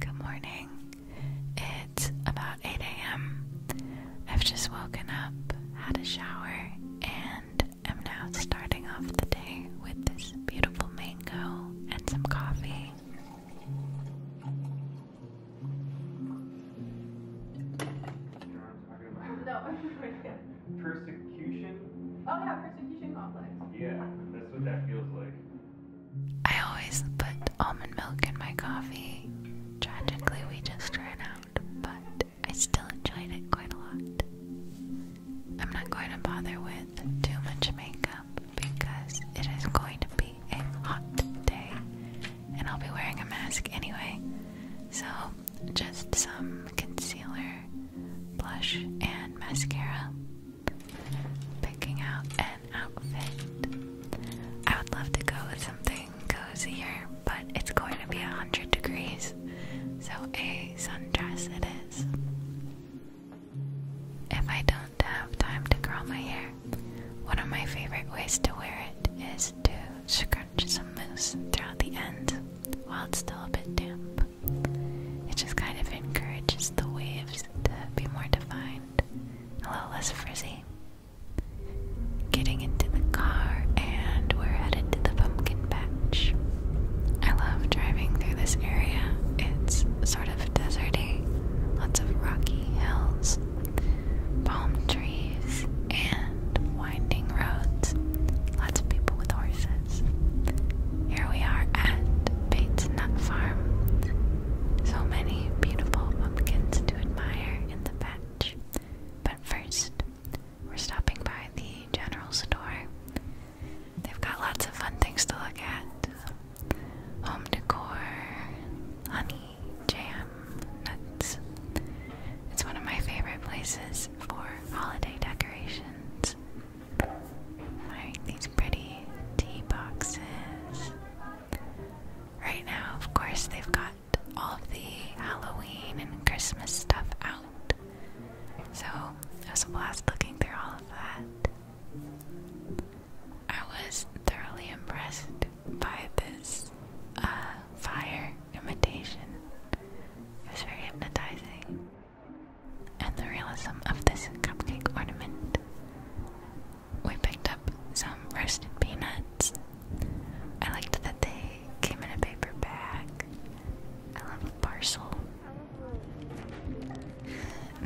Good morning. It's about 8 a.m. I've just woken up, had a shower, and am now starting off the day with this beautiful mango and some coffee. Persecution? Oh, yeah, persecution complex. Yeah, that's what that feels like. I always put almond milk in my coffee. Tragically, we just ran out, but I still enjoyed it quite a lot. I'm not going to bother with too much makeup because it is going to be a hot day and I'll be wearing a mask anyway. So, just some concealer, blush, and mascara picking out an outfit. I would love to go with something cozier, but it's going to be 100 degrees, so a sundress it is. If I don't have time to curl my hair, one of my favorite ways to wear it is to scrunch some mousse throughout the ends while it's still a bit damp. It just kind of encourages the waves to be more defined, a little less frizzy. Getting into the car, and we're headed to the pumpkin patch. I love driving through this area, it's sort of deserty, lots of rocky hills, palm trees, and winding roads, lots of people with horses. Here we are at Bates Nut Farm. So many beautiful pumpkins to admire in the patch. But first, we're stopping by the general store. They've got lots of fun things to look at home decor, honey, jam, nuts. It's one of my favorite places for holiday decorations. Alright, these pretty tea boxes. Right now, of course, they've got all of the Halloween and Christmas stuff out. So it was a blast looking through all of that. I was thoroughly impressed by this uh, fire imitation. It was very hypnotizing and the realism of this cupcake ornament. We picked up some roasted peanuts. I liked that they came in a paper bag. I love a parcel.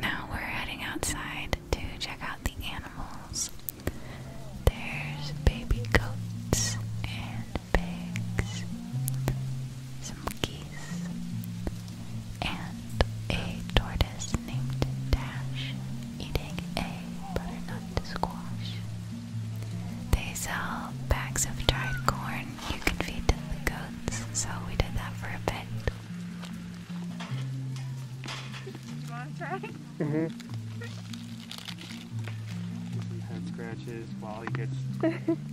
Now we're heading outside to check out the animals. There's baby goats and pigs, some geese and a tortoise named Dash eating a butternut squash. They sell bags of dried corn you can feed to the goats, so we did that for a bit. You want to try? hmm. Some head scratches while he gets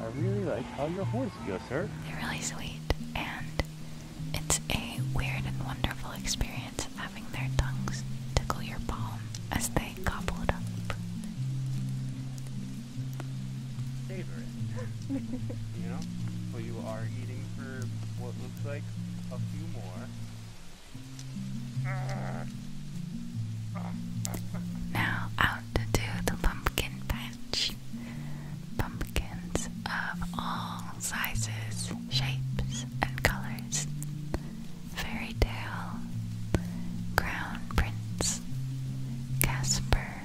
I really like how your horse feels, sir. they are really sweet, and it's a weird and wonderful experience having their tongues tickle your palm as they gobble it up. Savor it. you know? Well, you are eating for what looks like a few more. Now out to the pumpkin patch. Pumpkins of all sizes, shapes, and colors. Fairy tale, crown prince, Casper,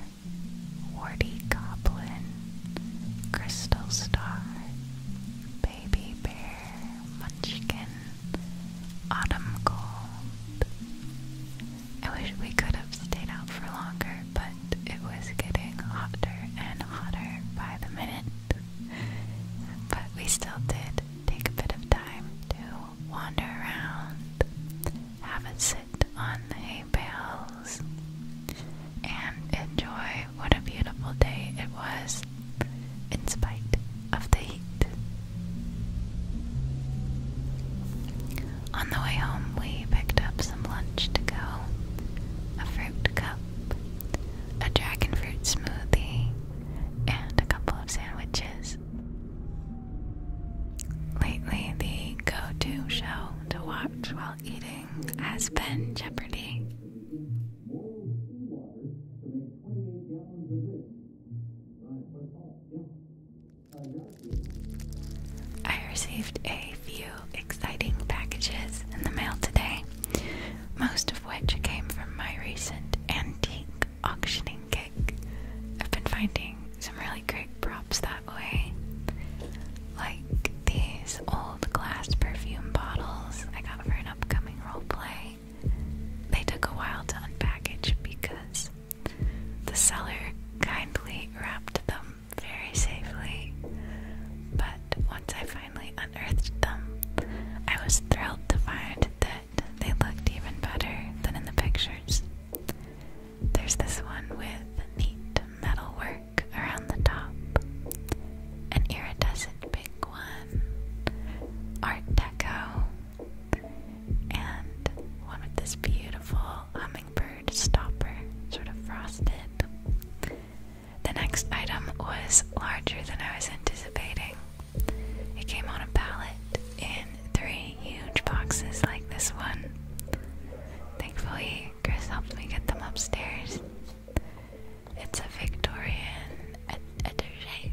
warty goblin, crystal star, baby bear, munchkin, autumn cold. I wish we could have stayed out for longer, but it was getting hotter and hotter by the minute. But we still did take a bit of time to wander around, have a sit on the hay bales, and enjoy what a beautiful day it was, in spite of the heat. On the way home, we picked up some lunch to go a fruit cup, a dragon fruit smoothie, and a couple of sandwiches. Lately, the go to show to watch while eating has been Jeopardy! boil seawater to make 28 gallons of this. Right. But, oh, yeah. Uh, I received a few exciting packages in the mail today, most of which came from my recent antique auctioning gig. I've been finding some really great props that way, like these old old glass perfume bottles I got for an upcoming role play. They took a while to unpackage because the seller kindly wrapped them very safely. But once I finally unearthed them, I was thrilled to find that they looked even better than in the pictures. There's this one with neat metalwork around the top, an iridescent pink one, Art Deco, and one with this beautiful hummingbird stopper, sort of frosted. The next item was larger than I was anticipating. It came on a pallet in three huge boxes like this one. Thankfully, Chris helped me get them upstairs. It's a Victorian attaché,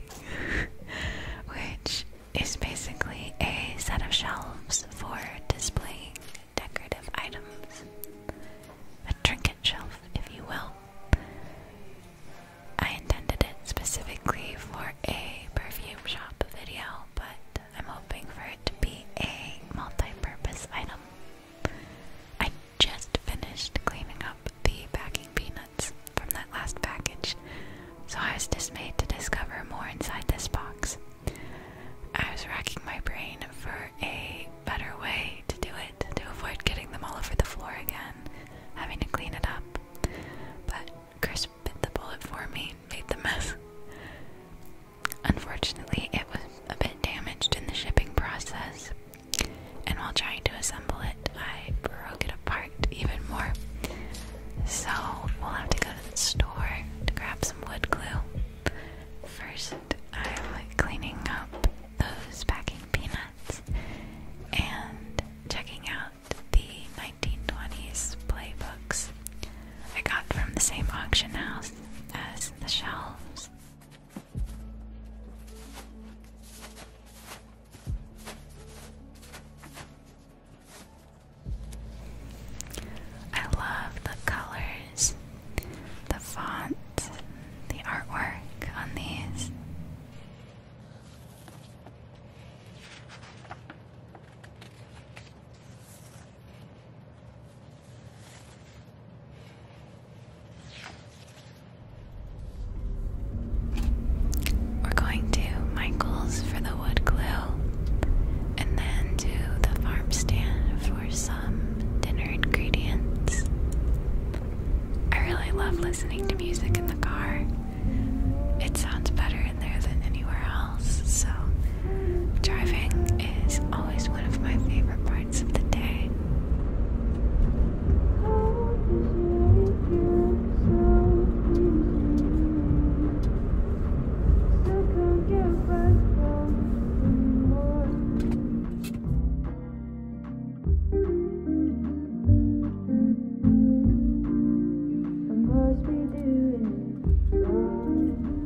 which is basically a set of shelves for displaying decorative items. A trinket shelf, if you will. I intended it specifically for a perfume shop video, but I'm hoping for it to be a multi purpose item just finished cleaning up the packing peanuts from that last package, so I was dismayed to discover more inside this box. I was racking my brain for a better way to do it to avoid getting them all over the floor again, having to clean it up. But Chris bit the bullet for me, made the mess. Unfortunately, it was a bit damaged in the shipping process, and while trying to assemble it, I broke it apart even more. So, we'll have to go to the store to grab some wood glue. First, I'm cleaning up those packing peanuts and checking out the 1920s playbooks I got from the same auction house as the shelves. I love the colors, the font, the artwork on these. We're going to Michael's for the wood glue and then to the farm stand for some dinner ingredients. I really love listening to music in the car. It sounds better in there than anywhere else, so driving is always one of my favorite parts the day. I must be doing it wrong.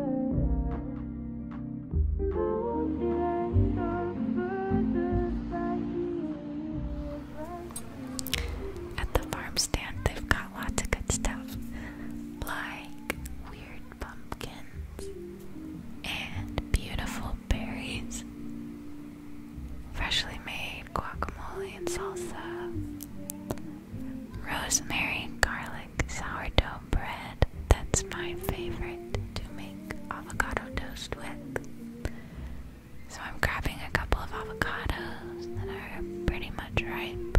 At the farm stand, they've got lots of good stuff like weird pumpkins and beautiful berries, freshly made guacamole and salsa. Rosemary garlic sourdough bread. That's my favorite to make avocado toast with. So I'm grabbing a couple of avocados that are pretty much ripe.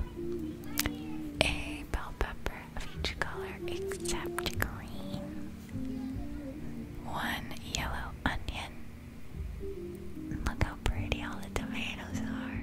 A bell pepper of each color except green. One yellow onion. Look how pretty all the tomatoes are.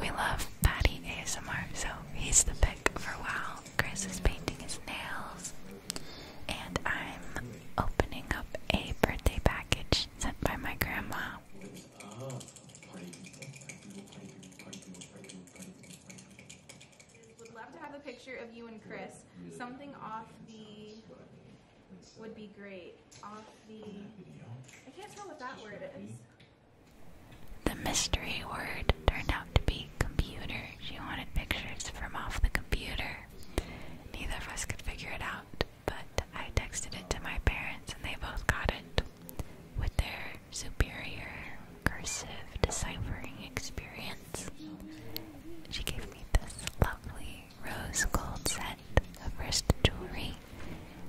We love Patty ASMR, so he's the pick for a while. Chris is painting his nails, and I'm opening up a birthday package sent by my grandma. Would love to have a picture of you and Chris. Something off the would be great. Off the I can't tell what that word is. The mystery word turned out to be computer. She wanted pictures from off the computer. Neither of us could figure it out, but I texted it to my parents and they both got it with their superior cursive deciphering experience. She gave me this lovely rose gold set of wrist jewelry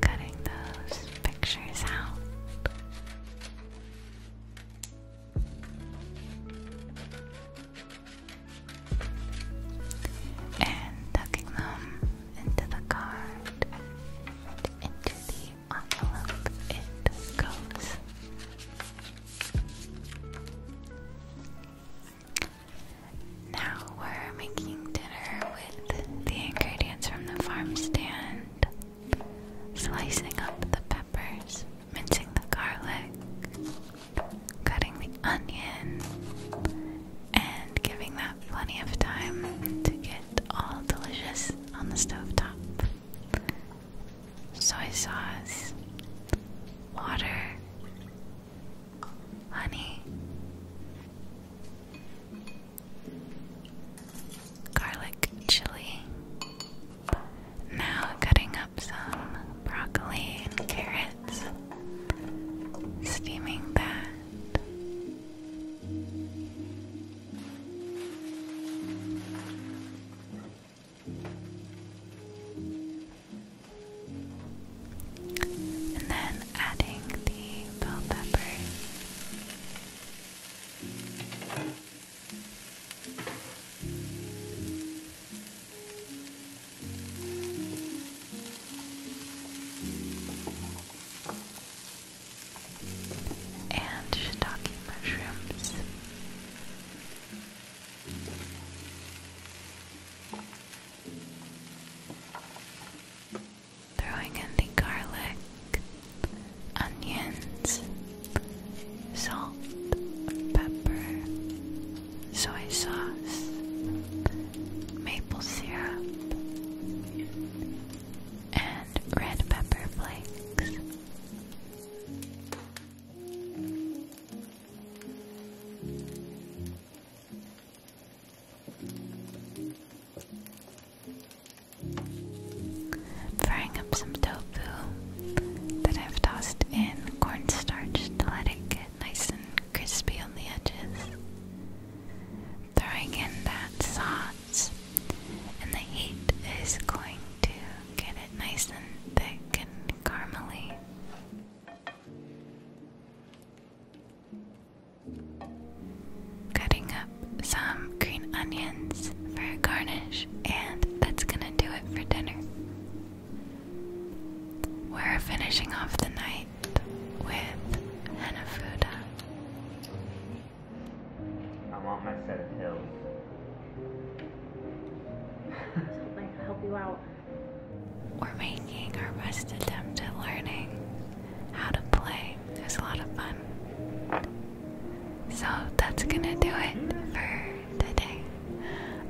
cutting those pictures out. And tucking them into the card into the envelope it goes. Now we're making dinner with the ingredients from the farm stand, slicing up the peppers, mincing the garlic, cutting the onion, and giving that plenty of time to get all delicious on the stove top. Soy sauce, water, honey, garlic chili. Now cutting up some broccoli and carrots, steaming that and then adding the bell pepper. And shiitake mushrooms. Throwing in the garlic, onions, salt, pepper, soy sauce, maple syrup, and red pepper flakes. I'm frying up some tofu that I've tossed in cornstarch to let it get nice and crispy on the edges. Throwing in that sauce, and the heat is going to get it nice and thick and caramely. Cutting up some green onions for garnish, and that's gonna do it for dinner. We're finishing off the night with Hanafuda. I'm my set of pills. We're making our best attempt at learning how to play. It a lot of fun. So that's gonna do it for today.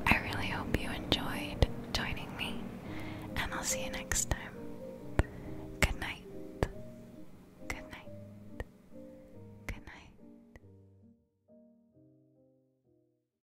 I really hope you enjoyed joining me, and I'll see you next time. Good night. Good night. Good night.